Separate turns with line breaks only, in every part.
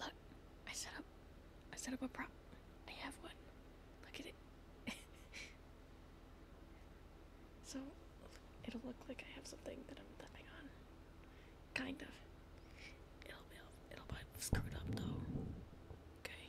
look, I set up, I set up a prop. I have one. Look at it. so it'll look like I have something that I'm tapping on, kind of. It'll be, it'll be screwed up though. Okay.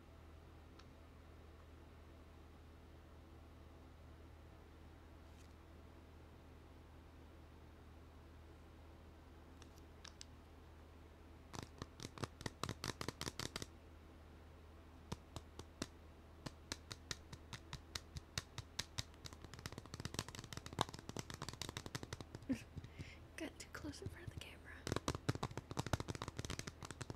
Got too close in front of the camera.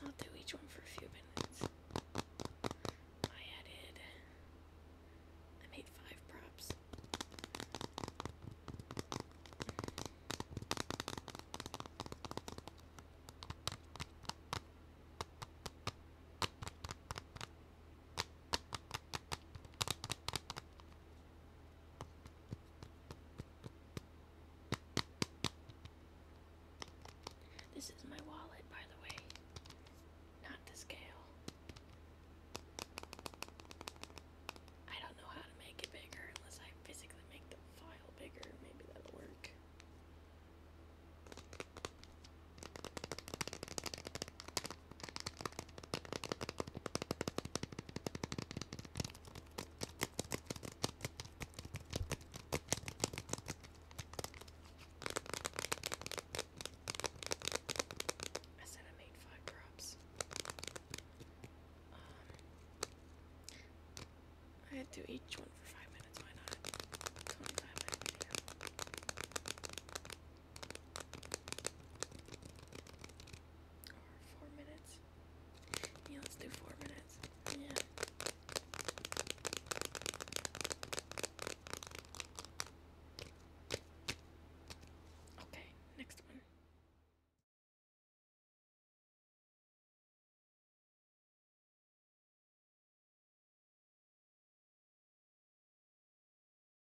I'll do each one for a few minutes. I added, I made five props. This is my wallet, by the way, not the scale. I don't know how to make it bigger unless I physically make the file bigger. Maybe that'll work. I said I made five props. Um, I had to do each one for five minutes, why not? 25 four minutes. Yeah, let's do four minutes. Yeah. Okay, next one.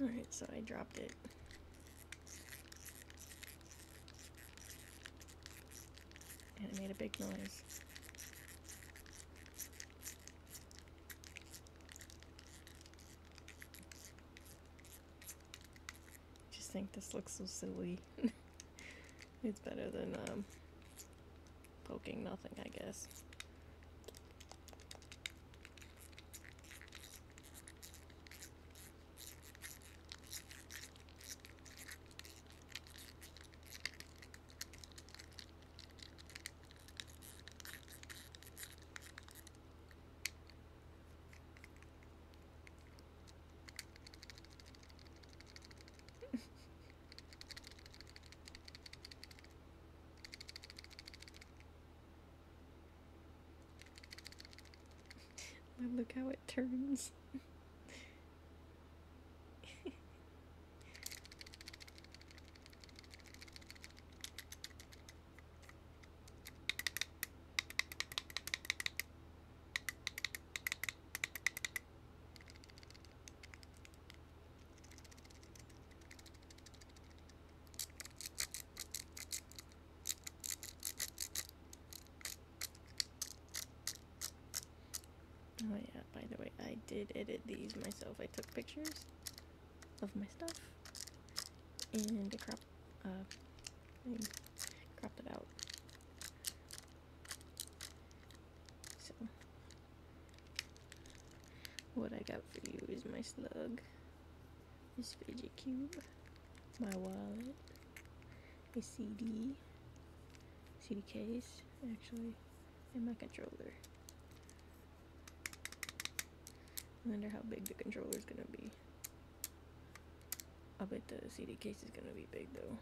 Alright, so I dropped it. And it made a big noise. I just think this looks so silly. it's better than um, poking nothing, I guess. Look how it turns. Oh yeah, by the way, I did edit these myself. I took pictures of my stuff and a crop uh, crop it out. So, what I got for you is my slug, this fidget cube, my wallet, a CD, CD case, actually, and my controller. wonder how big the controller is gonna be. I bet the CD case is gonna be big though.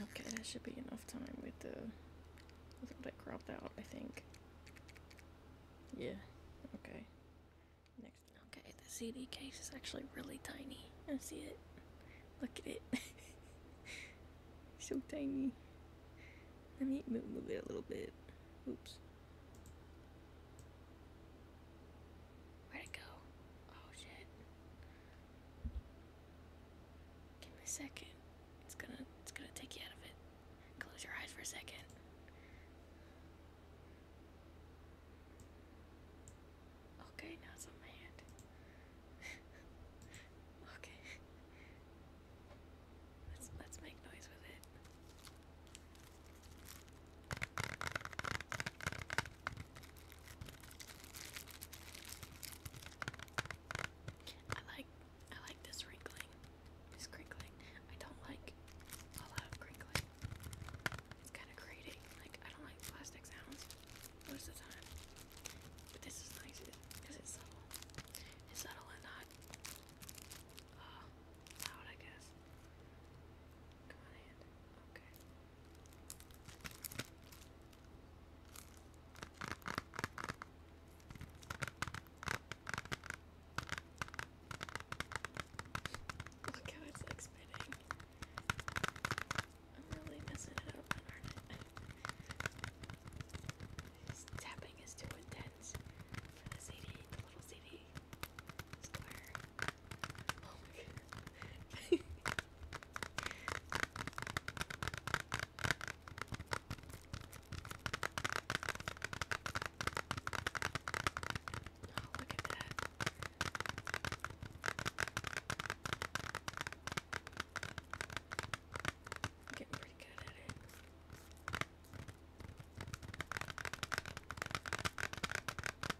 Okay, that should be enough time with the with all that cropped out, I think. Yeah, okay. Next. Okay, the CD case is actually really tiny. I see it. Look at it. so tiny. Let me move it a little bit. Oops. Where'd it go? Oh shit. Give me a second. It's gonna it's gonna take you out of it. Close your eyes for a second. Okay, now it's on my hand. okay. Let's let's make noise with it. I like I like this wrinkling. This crinkling. I don't like a lot of crinkling. It's kinda grating. Like I don't like plastic sounds most the time. But this is nice because it's subtle. It's subtle and not uh, loud I guess. Look how it's like spinning. I'm really messing it up, are I? His tapping is too intense for the CD, the little CD square. Oh my god. look at that. getting pretty good at it.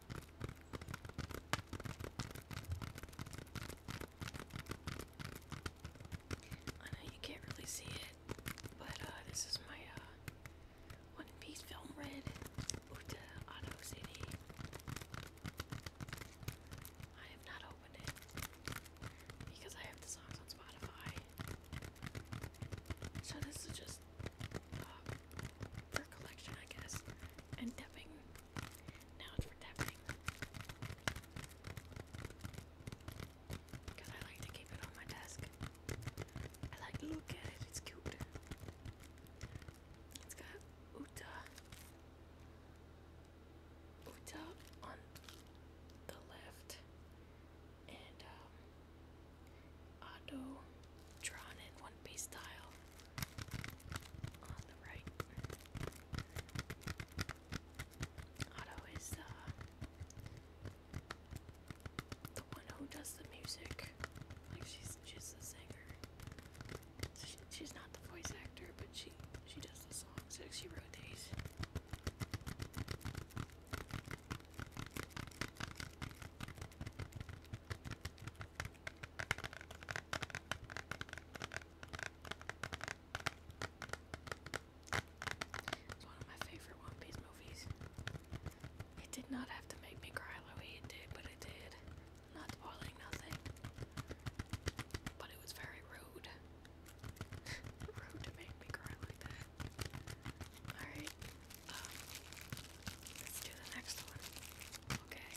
I know you can't really see it, but uh, this is my uh, One Piece film red Uta Auto CD. I have not opened it because I have the songs on Spotify. So this is just for uh, collection, I guess, and dipping now it's for tapping. Because I like to keep it on my desk. I like to look at it, it's cute. It's got Uta. Uta on the left. And um drawn in one piece style on the right. Otto is uh, the one who does the music. Like she's she's the singer. she's not the voice actor, but she she does the songs. Like she wrote these. It's one of my favorite One movies. It did not have to make me cry the way it did, but it did. Not spoiling nothing. But it was very rude. rude to make me cry like that. Alright, do the next one. Okay.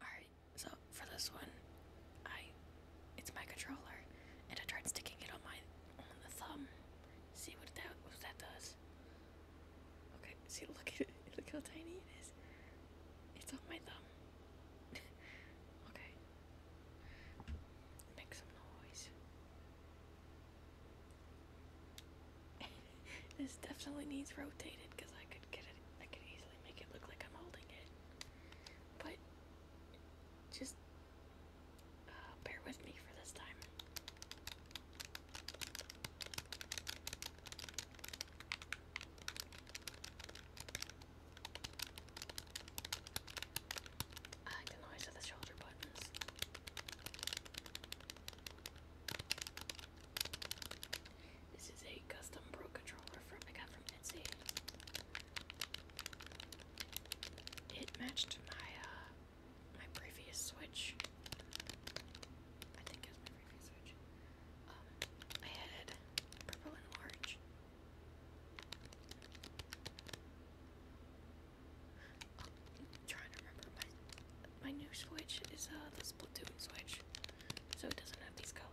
Alright, so for this one, I it's my controller and I tried sticking it on my on the thumb. See what that what that does. Okay, see look at it look how tiny it is. It's on my thumb. okay. Make some noise. this definitely needs rotated because I could get it, I could easily make it look like I'm holding it. But just uh, bear with me for this time. I like the noise the shoulder buttons. This is a custom Pro controller from I got from Etsy. It matched my uh, my previous Switch. I think it my previous Switch. Um, I had purple and orange trying to remember my my new switch is uh the Splatoon switch, so it doesn't have these colors.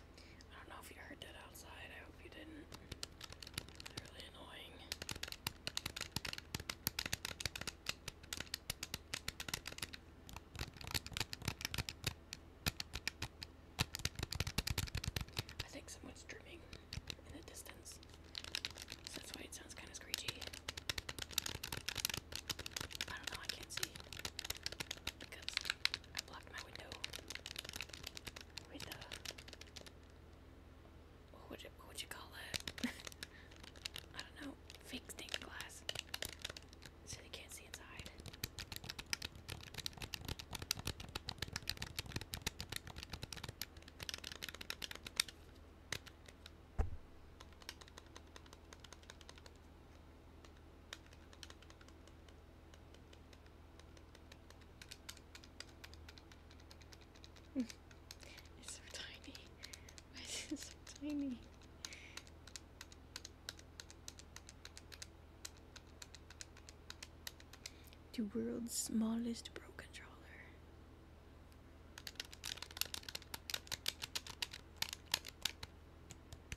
I don't know if you heard that outside. I hope you didn't. It's really annoying. I think someone's dripping in the distance. that's why it sounds kind of screechy. I don't know, I can't see. I blocked my window what would you, what would you call it? I don't know, fake stained glass, so they can't see inside. it's so tiny. Why is it so tiny? The world's smallest pro controller.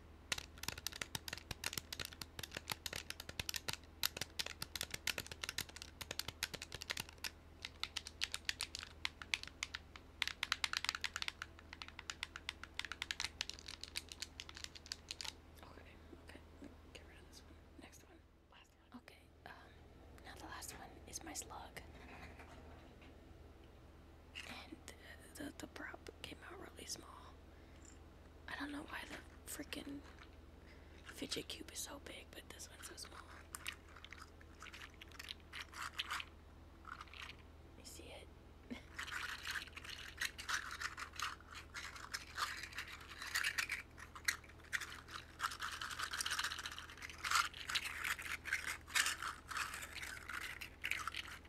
Okay, okay, get rid of this one. Next one. Last one. Okay, um, now the last one is my slug and the, the prop came out really small. I don't know why the freaking fidget cube is so big, but this one's so small. You see it?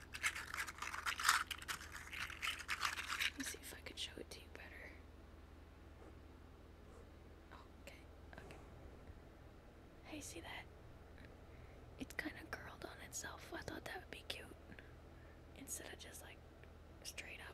Let me see if I can show it to you better. Okay, okay. Hey, see that? It's kind of curled on itself. I thought that would be cute. Instead of just like straight up.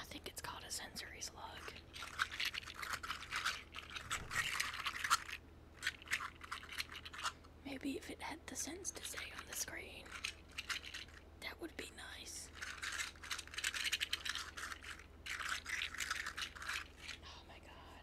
I think it's called a sensory slug. Maybe if it had the sense to stay on the screen, that would be nice. Oh my god.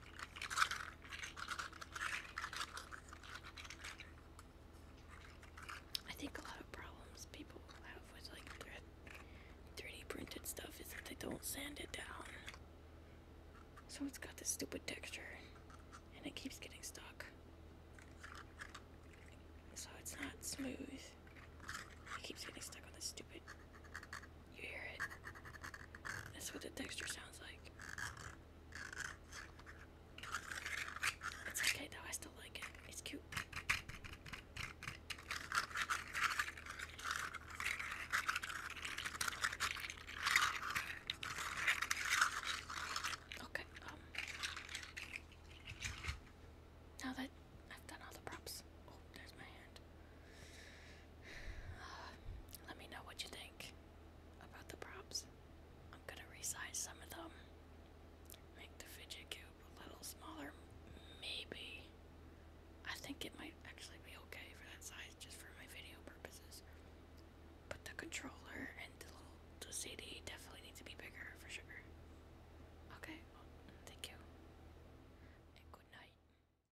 I think a lot of problems people have with like 3D printed stuff is that they don't sand it down. So it's got this stupid texture and it keeps getting stuck. So it's not smooth. It keeps getting stuck on this stupid you hear it? That's what the texture sounds like. It's okay though, I still like it. It's cute. Okay, um now that I've done all the props. Oh, there's my hand. Let me know what you think about the props. I'm gonna resize some of them. Make the fidget cube a little smaller, maybe. I think it might actually be okay for that size just for my video purposes. But the controller and the little the CD definitely need to be bigger for sure. Okay, thank you. And good night.